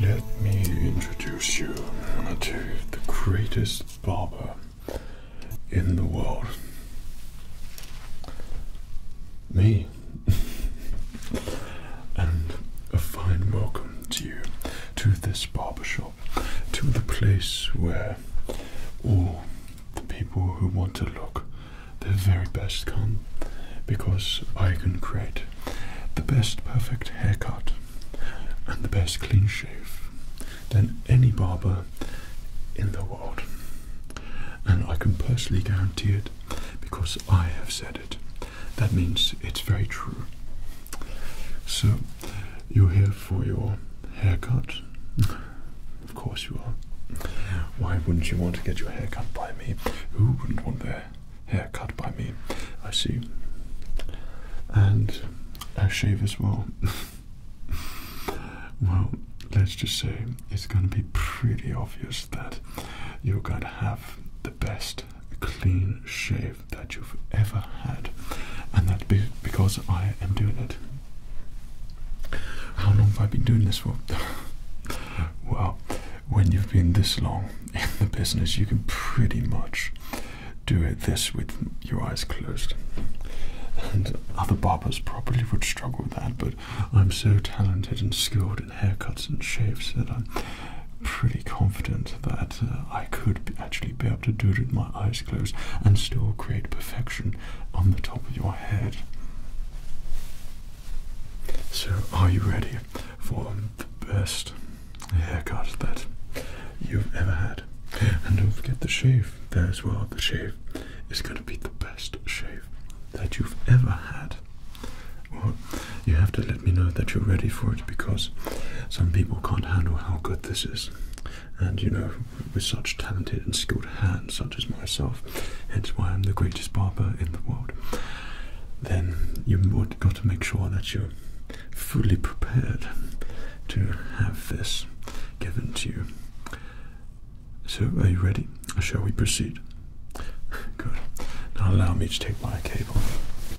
Let me introduce you to the greatest barber in the world. Me. and a fine welcome to you to this barbershop to the place where all the people who want to look their very best come because I can create the best perfect haircut and the best clean shave than any barber in the world. And I can personally guarantee it because I have said it. That means it's very true. So you're here for your haircut? of course you are. Why wouldn't you want to get your hair cut by me? Who wouldn't want their hair cut by me? I see. And a shave as well. well, let's just say it's going to be pretty obvious that you're going to have the best clean shave that you've ever had, and that be because I am doing it. How long have I been doing this for? well, when you've been this long in the business, you can pretty much do it this with your eyes closed. And other barbers probably would struggle with that, but I'm so talented and skilled in haircuts and shaves that I'm pretty confident that uh, I could actually be able to do it with my eyes closed and still create perfection on the top of your head. So, are you ready for the best haircut that you've ever had? And don't forget the shave there as well. The shave is going to be the best shave that you've ever had. Well, you have to let me know that you're ready for it because some people can't handle how good this is. And you know, with such talented and skilled hands, such as myself, it's why I'm the greatest barber in the world, then you've got to make sure that you're fully prepared to have this given to you. So, are you ready? Or shall we proceed? Good. Now, allow me to take my cape off.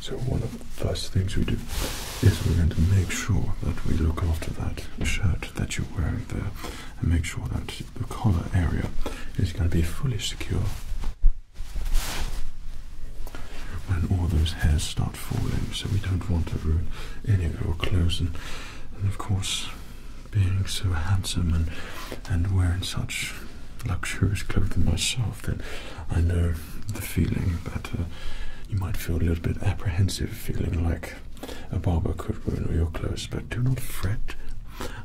So one of the first things we do is we're going to make sure that we look after that shirt that you're wearing there and make sure that the collar area is going to be fully secure. When all those hairs start falling, so we don't want to ruin any of your clothes, and, of course, being so handsome and and wearing such luxurious clothing myself, that I know the feeling that uh, you might feel a little bit apprehensive, feeling like a barber could ruin your clothes. But do not fret,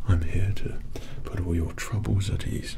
I'm here to put all your troubles at ease.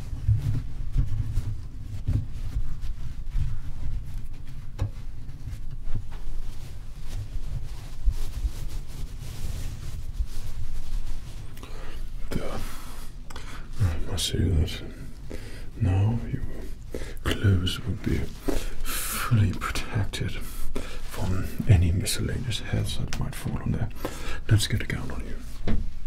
I see that now your clothes would be fully protected from any miscellaneous hazards that might fall on there. Let's get a gown on you.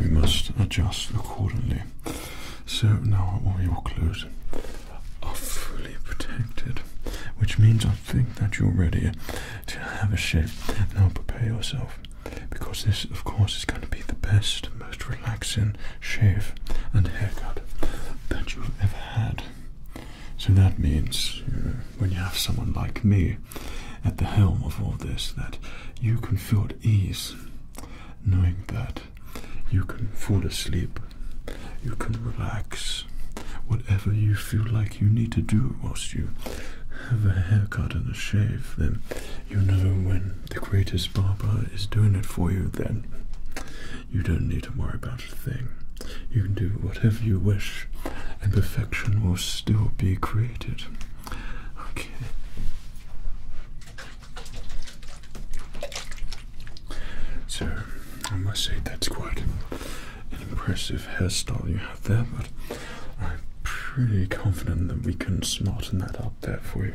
We must adjust accordingly. So now all your clothes are fully protected, which means I think that you're ready to have a shave. Now prepare yourself, because this, of course, is going to be the best, most relaxing shave and haircut that you've ever had. So that means when you have someone like me at the helm of all this, that you can feel at ease knowing that you can fall asleep, you can relax, whatever you feel like you need to do whilst you have a haircut and a shave, then you know when the greatest barber is doing it for you, then you don't need to worry about a thing. You can do whatever you wish and perfection will still be created. Okay. So, I must say that's quite an impressive hairstyle you have there, but I'm pretty confident that we can smarten that up there for you.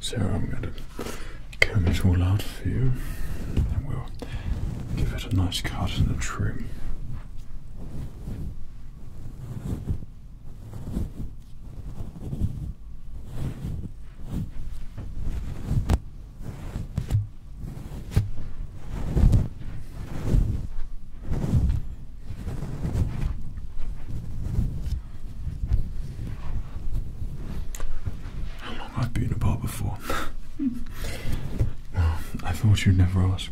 So I'm going to cut it all out for you and we'll give it a nice cut and a trim. How long I've been apart before? I thought you'd never ask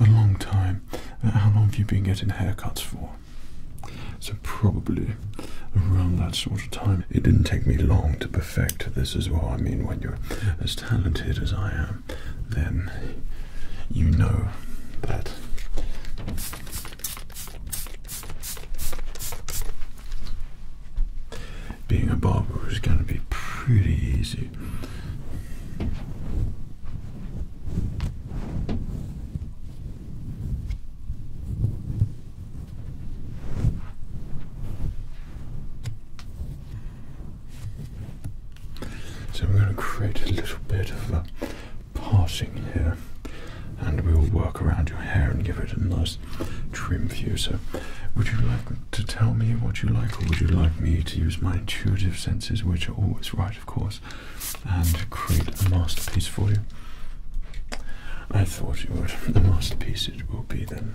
a long time. Uh, how long have you been getting haircuts for? So, probably around that sort of time. It didn't take me long to perfect this as well. I mean, when you're as talented as I am, then you know that. Being a barber is going to be pretty easy. So we're going to create a little bit of a parting here, and we will work around your hair and give it a nice trim view. So, would you like to tell me what you like, or would you like me to use my intuitive senses, which are always right, of course, and create a masterpiece for you? I thought you would. The masterpiece it will be then.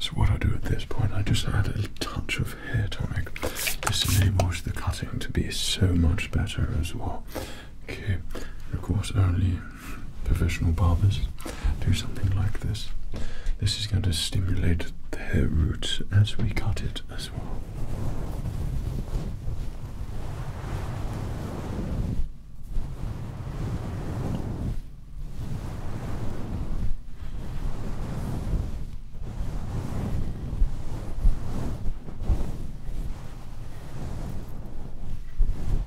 So, what I do at this point, I just add a little touch of hair tonic. This enables the cutting to be so much better as well. Okay, of course, only professional barbers do something like this. This is going to stimulate the hair roots as we cut it as well.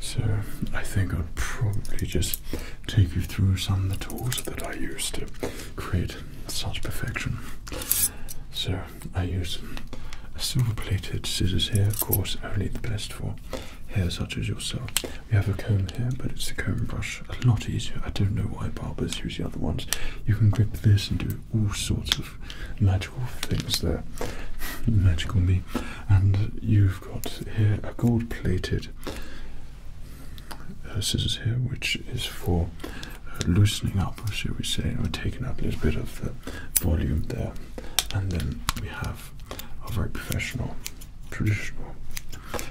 So I think I'll probably just take you through some of the tools that I use to create such perfection. So I use a silver plated scissors here, of course only the best for hair such as yourself. We have a comb here, but it's the comb brush. A lot easier. I don't know why barbers use the other ones. You can grip this and do all sorts of magical things there. magical me. And you've got here a gold plated uh, scissors here, which is for uh, loosening up, shall we say, or taking up a little bit of the volume there. And then we have have are very professional, traditional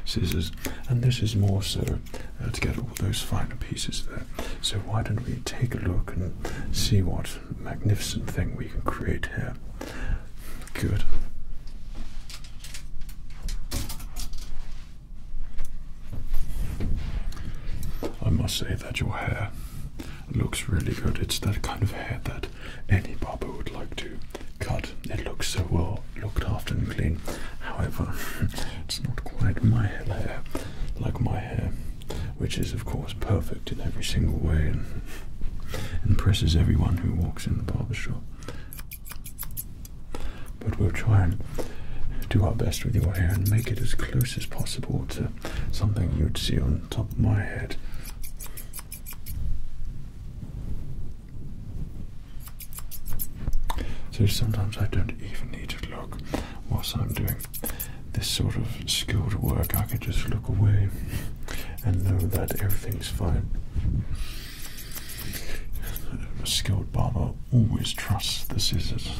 scissors, and this is more so uh, to get all those finer pieces there. So, why don't we take a look and see what magnificent thing we can create here? Good. I must say that your hair looks really good. It's that kind of hair that any barber would like to cut. It looks so well looked after and clean. However, it's not quite my hair like my hair, which is of course perfect in every single way and impresses everyone who walks in the barber shop. But we'll try and do our best with your hair and make it as close as possible to something you'd see on top of my head. So sometimes I don't even need to look whilst I'm doing this sort of skilled work. I can just look away and know that everything's fine. A skilled barber always trusts the scissors.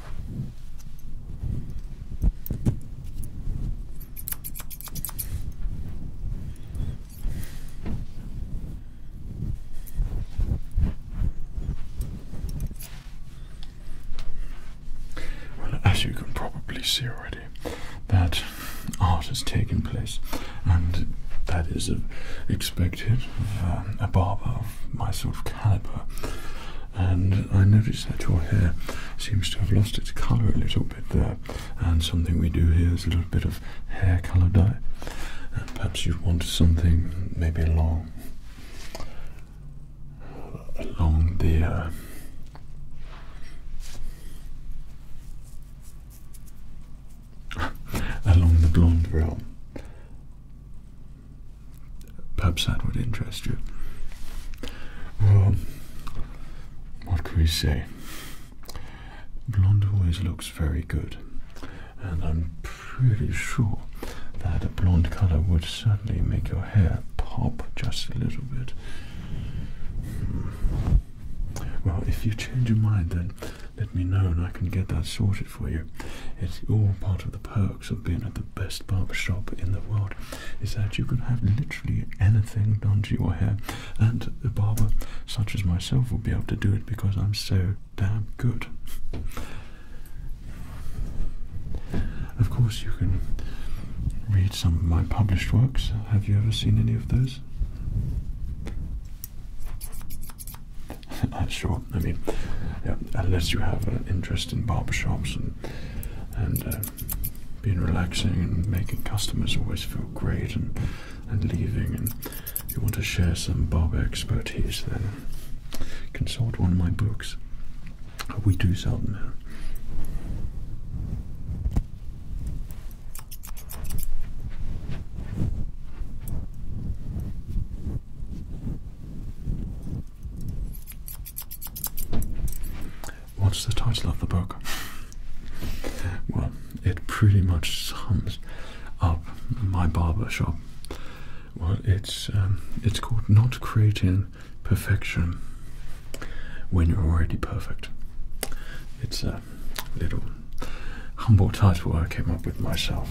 as you can probably see already, that art has taken place, and that is expected. Um, a barber of my sort of caliber and I notice that your hair seems to have lost its colour a little bit there. And something we do here is a little bit of hair colour dye. And perhaps you want something maybe along along the. Uh, along the blonde realm Perhaps that would interest you. Well, what can we say? Blonde always looks very good, and I'm pretty sure that a blonde color would certainly make your hair pop just a little bit. Hmm. Well, if you change your mind, then let me know and I can get that sorted for you. It's all part of the perk of being at the best barber shop in the world is that you can have literally anything done to your hair, and a barber such as myself will be able to do it because I'm so damn good. Of course, you can read some of my published works. Have you ever seen any of those? Not sure, I mean, unless you have an interest in barbershops and uh, being relaxing and making customers always feel great and, and leaving. And if you want to share some Bob expertise, then consult one of my books. We do sell them now. What's the title of the book? Well, it pretty much sums up my barber shop. Well, it's um, it's called not creating perfection when you're already perfect. It's a little humble title I came up with myself.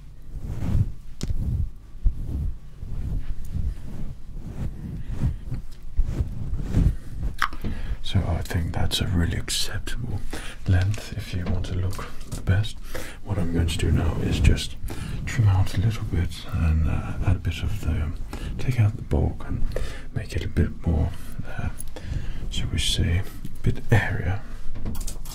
So I think that's a really acceptable length if you want to look the best. What I'm going to do now is just trim out a little bit and uh, add a bit of the, take out the bulk and make it a bit more, uh, shall we say, a bit area.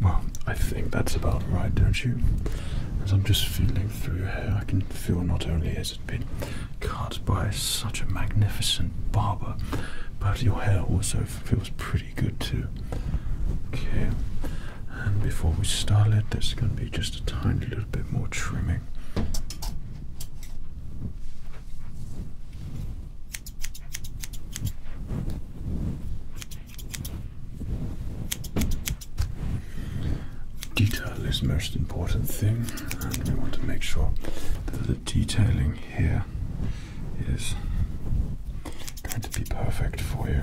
Well, I think that's about right, don't you? As I'm just feeling through your hair, I can feel not only has it been cut by such a magnificent barber, but your hair also feels pretty good too. Okay, and before we start it, there's going to be just a tiny little bit more trimming. Detail is the most important thing, and we want to make sure that the detailing here is going to be perfect for you.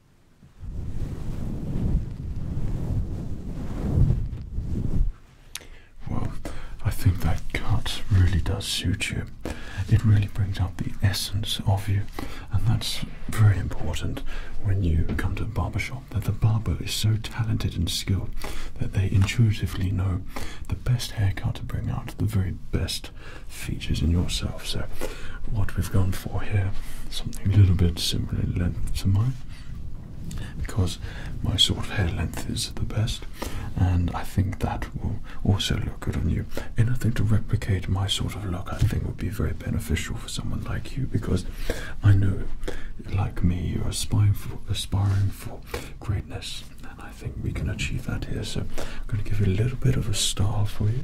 Well, I think that cut really does suit you. It really brings out the essence of you, and that's very important when you come to a barber shop. that the barber is so talented and skilled that they intuitively know the best haircut to bring out the very best features in yourself. So, what we've gone for here, something a little bit similar in length to mine, because my sort of hair length is the best, and I think that will also look good on you. Anything to replicate my sort of look, I think, would be very beneficial for someone like you, because I know, like me, you're aspiring for, greatness, and I think we can achieve that here. So, I'm going to give you a little bit of a style for you.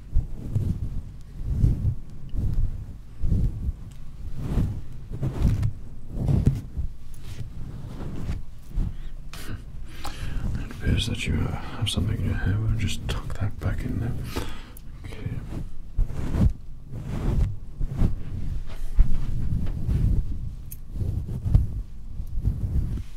It appears that you uh, have something in your hair. We'll just tuck that back in there. Okay.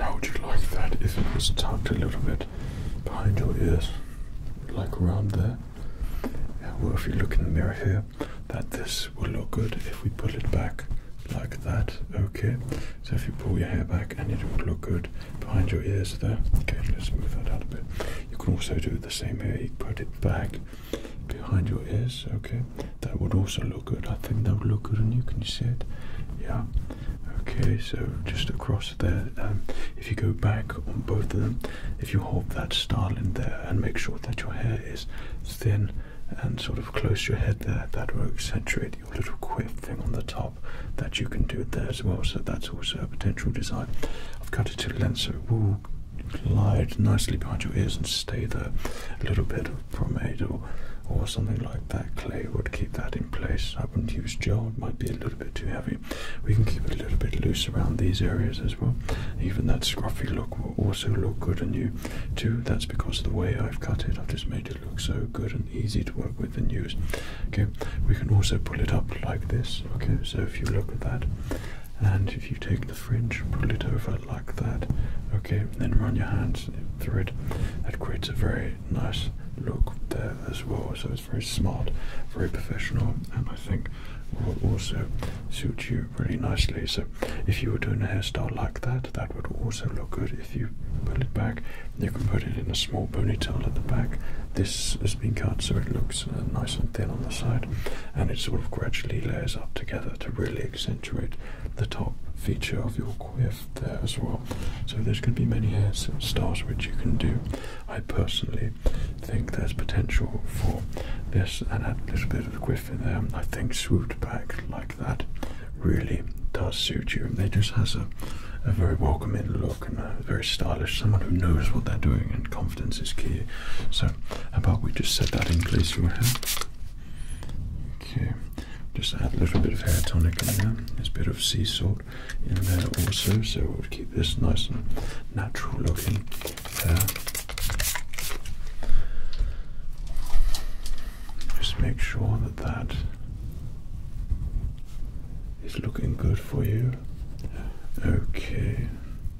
How would you like that if it was tucked a little bit behind your ears? like around there. well, if you look in the mirror here, that this will look good if we pull it back like that. Okay, so if you pull your hair back and it would look good behind your ears there. Okay, let's move that out a bit. You can also do the same here, you put it back behind your ears. Okay, that would also look good. I think that would look good and you. Can see it? Yeah, okay, so just across there, um, if you go back on both of them, if you hold that style in there and make sure that your hair is thin and sort of close your head there, that will accentuate your little quiff thing on the top that you can do it there as well. So that's also a potential design. I've cut it to length so it will glide nicely behind your ears and stay there. A little bit of pomade or, or something like that clay would keep that in place. I wouldn't use gel, it might be a little bit too heavy. We can keep it a little bit loose around these areas as well. Even that scruffy look will also look good on you too. That's because of the way I've cut it. I've just made it look so good and easy to work with and use. Okay, we can also pull it up like this. Okay, so if you look at that, and if you take the fringe, pull it over like that. Okay, then run your hands through it. That creates a very nice look there as well. So very smart, very professional, and I think will also suit you really nicely. So, if you were doing a hairstyle like that, that would also look good. If you pull it back, you can put it in a small ponytail at the back. This has been cut so it looks uh, nice and thin on the side, and it sort of gradually layers up together to really accentuate the top feature of your quiff there as well. So, there's going to be many hairstyles which you can do I personally think there's potential for this and a little bit of quiff in there. I think swooped back like that really does suit you. It just has a, very welcoming look and a very stylish. Someone who knows what they're doing and confidence is key. So how about we just set that in place for him? Okay, just add a little bit of hair tonic in there. There's a bit of sea salt in there also, so we'll keep this nice and natural looking there. Just make sure that that is looking good for you. Okay,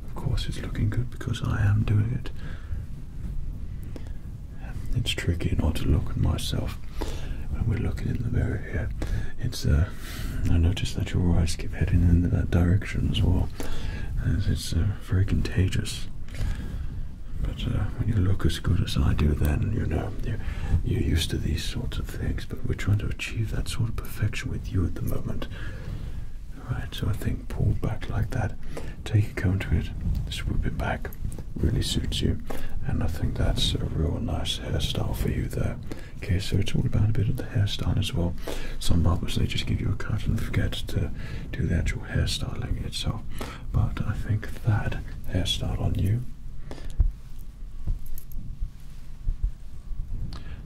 of course it's looking good because I am doing it. It's tricky not to look at myself when we're looking in the mirror here. It's a. Uh, I noticed that your eyes keep heading in that direction as well, as it's uh, very contagious. But uh, when you look as good as I do, then you know you're, used to these sorts of things. But we're trying to achieve that sort of perfection with you at the moment. All right, so I think pull back like that, take a cone to it, swoop it back, really suits you, and I think that's a real nice hairstyle for you there. Okay, so it's all about a bit of the hairstyle as well. Some barbers they just give you a cut and forget to do the actual hairstyling itself. But I think that hairstyle on you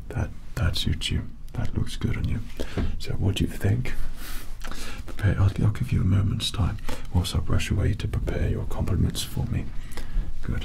that that suits you. That looks good on you. So what do you think? Prepare. I'll, give you a moment's time whilst I brush away to prepare your compliments for me. Good.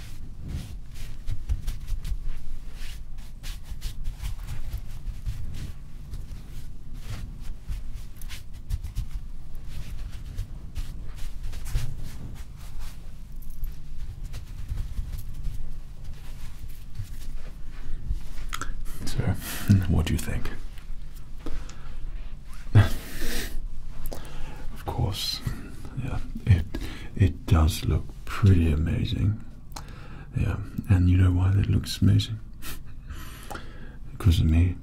So, what do you think? of course, yeah, it it does look pretty amazing. Yeah, and you know why that looks amazing? because of me.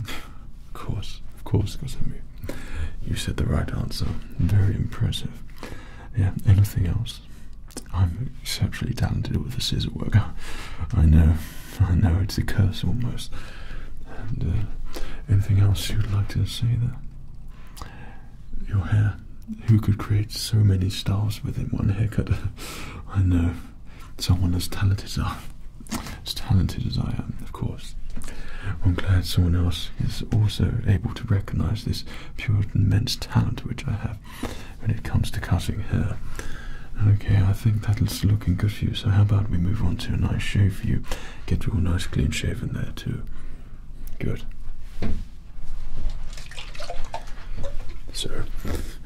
of course, of course, because of me. You said the right answer. Very impressive. Yeah, anything else? I'm exceptionally talented with the scissor work. I know, I know, it's a curse almost. Uh, anything else you'd like to say there? your hair. Who could create so many stars within one haircut? I know. Someone as talented as I as talented as I am, of course. I'm glad someone else is also able to recognise this pure immense talent which I have when it comes to cutting hair. Okay, I think that's looking good for you, so how about we move on to a nice shave for you? Get you all nice clean shaven there too. Good. So,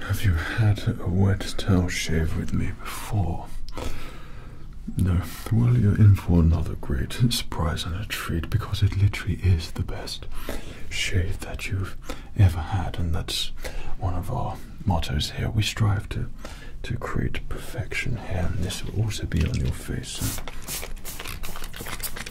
have you had a wet towel shave with me before? No. Well, you're in for another great surprise and a treat because it literally is the best shave that you've ever had, and that's one of our mottos here. We strive to to create perfection here, and this will also be on your face.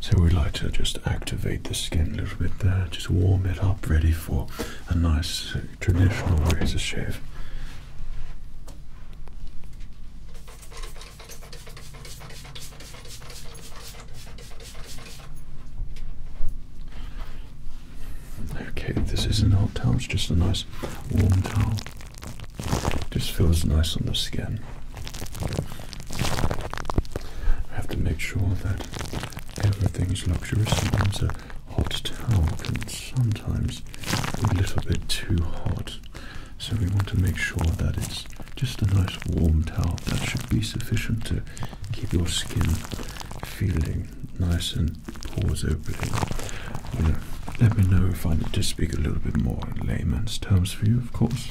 So we would like to just activate the skin a little bit there, just warm it up, ready for a nice traditional razor shave. Okay, this isn't a hot towel, it's just a nice warm towel. Just feels nice on the skin. I have to make sure that everything is luxurious. Sometimes a hot towel can sometimes be a little bit too hot. So we want to make sure that it's just a nice warm towel that should be sufficient to keep your skin feeling nice and pores opening. Well, let me know if I need to speak a little bit more in layman's terms for you, of course.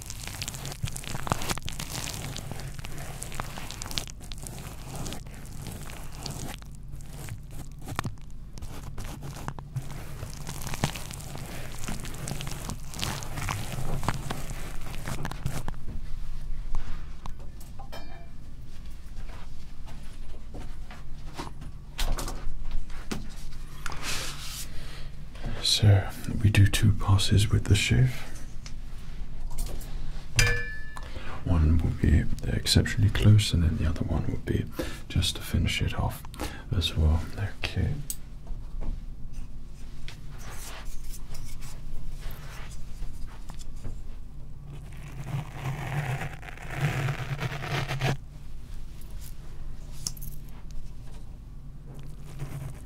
So we do two passes with the shave. One will be exceptionally close, and then the other one will be just to finish it off as well. Okay.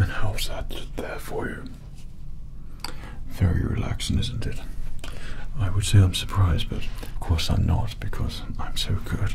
And how's that there for you? Very relaxing, isn't it? I would say I'm surprised, but of course I'm not because I'm so good.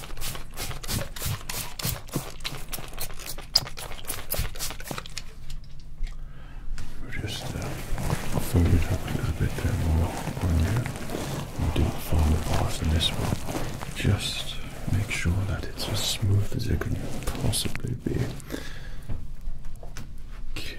We're just uh, folded up a little bit there more on you. We don't follow the bars this one. Just make sure that it's as smooth as it can possibly be. Okay.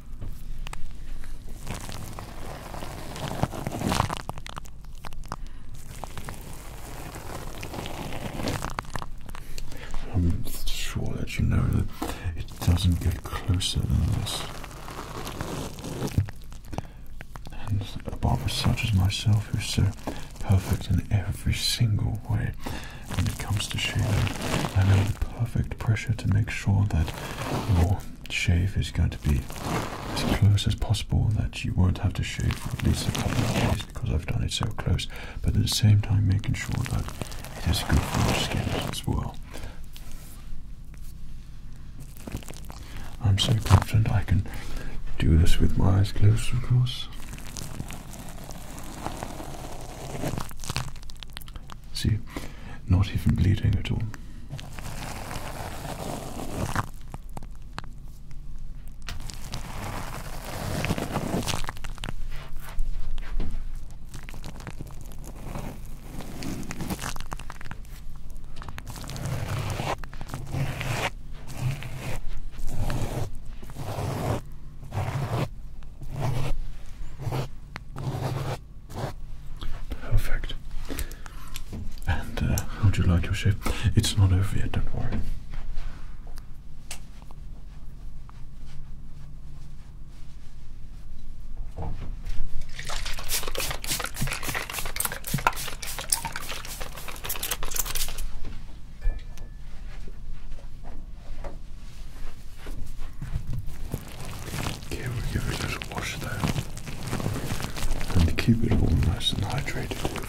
I'm sure that you know that it doesn't get closer than this. And a barber such as myself who's so perfect in every single way when it comes to shaving, I know the perfect pressure to make sure that your shave is going to be as close as possible that you won't have to shave for at least a couple of days because I've done it so close but at the same time making sure that it is good for your skin as well. I'm so confident I can do this with my eyes closed of course. See, not even bleeding at all. Perfect. And uh, how would you like your shape? It's not over yet, don't worry. Okay, we'll give it a little wash there and keep it all nice and hydrated for you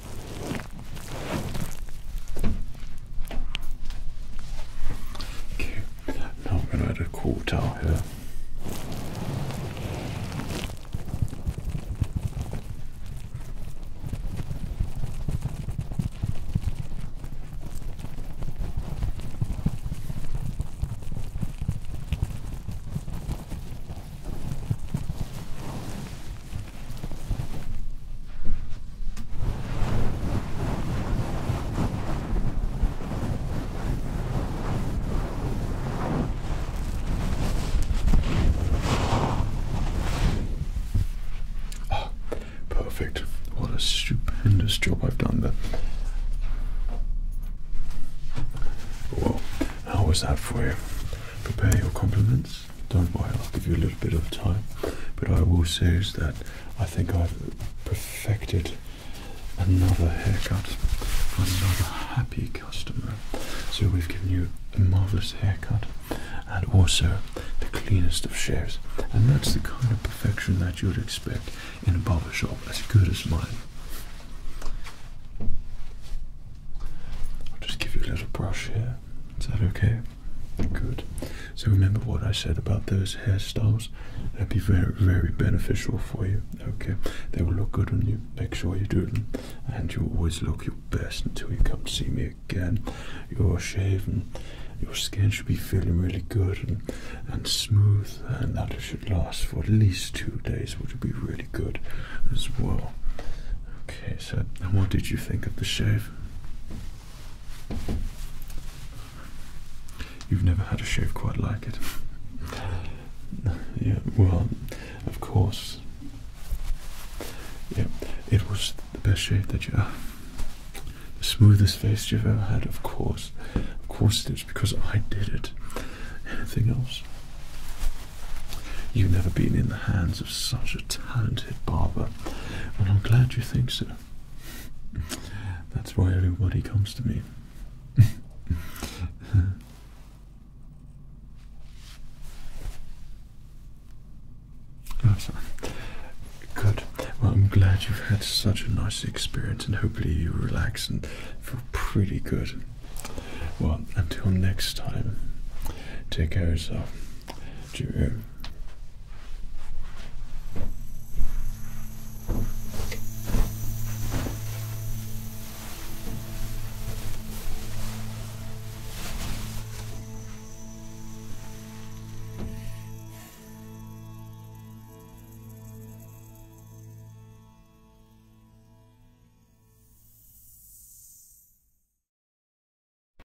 now I'm going to add a quarter here perfect. What a stupendous job I've done there. Well, how was that for you? Prepare your compliments. Don't worry, I'll give you a little bit of time. But I will say is that I think I've perfected another haircut for another happy customer. So we've given you a marvelous haircut and also the cleanest of shares. And that's the kind of perfection that you'd expect in a barber shop as good as mine. I'll just give you a little brush here. Is that okay? Good. So remember what I said about those hairstyles? That'd be very, very beneficial for you. Okay. They will look good when you. Make sure you do them. And you always look your best until you come to see me again. Your shaving, Your skin should be feeling really good and, smooth, and that should last for at least two days, which would be really good as well. Okay, so and what did you think of the shave? You've never had a shave quite like it. yeah, well, of course. Yeah, it was the best shave that you have. The smoothest face you've ever had, of course. Of course it is, because I did it. Anything else? You've never been in the hands such a talented barber. and I'm glad you think so. That's why everybody comes to me. oh, sorry. Good. Well, I'm glad you've had such a nice experience, and hopefully you relax and feel pretty good. Well, until next time, take care of yourself. Cheerio.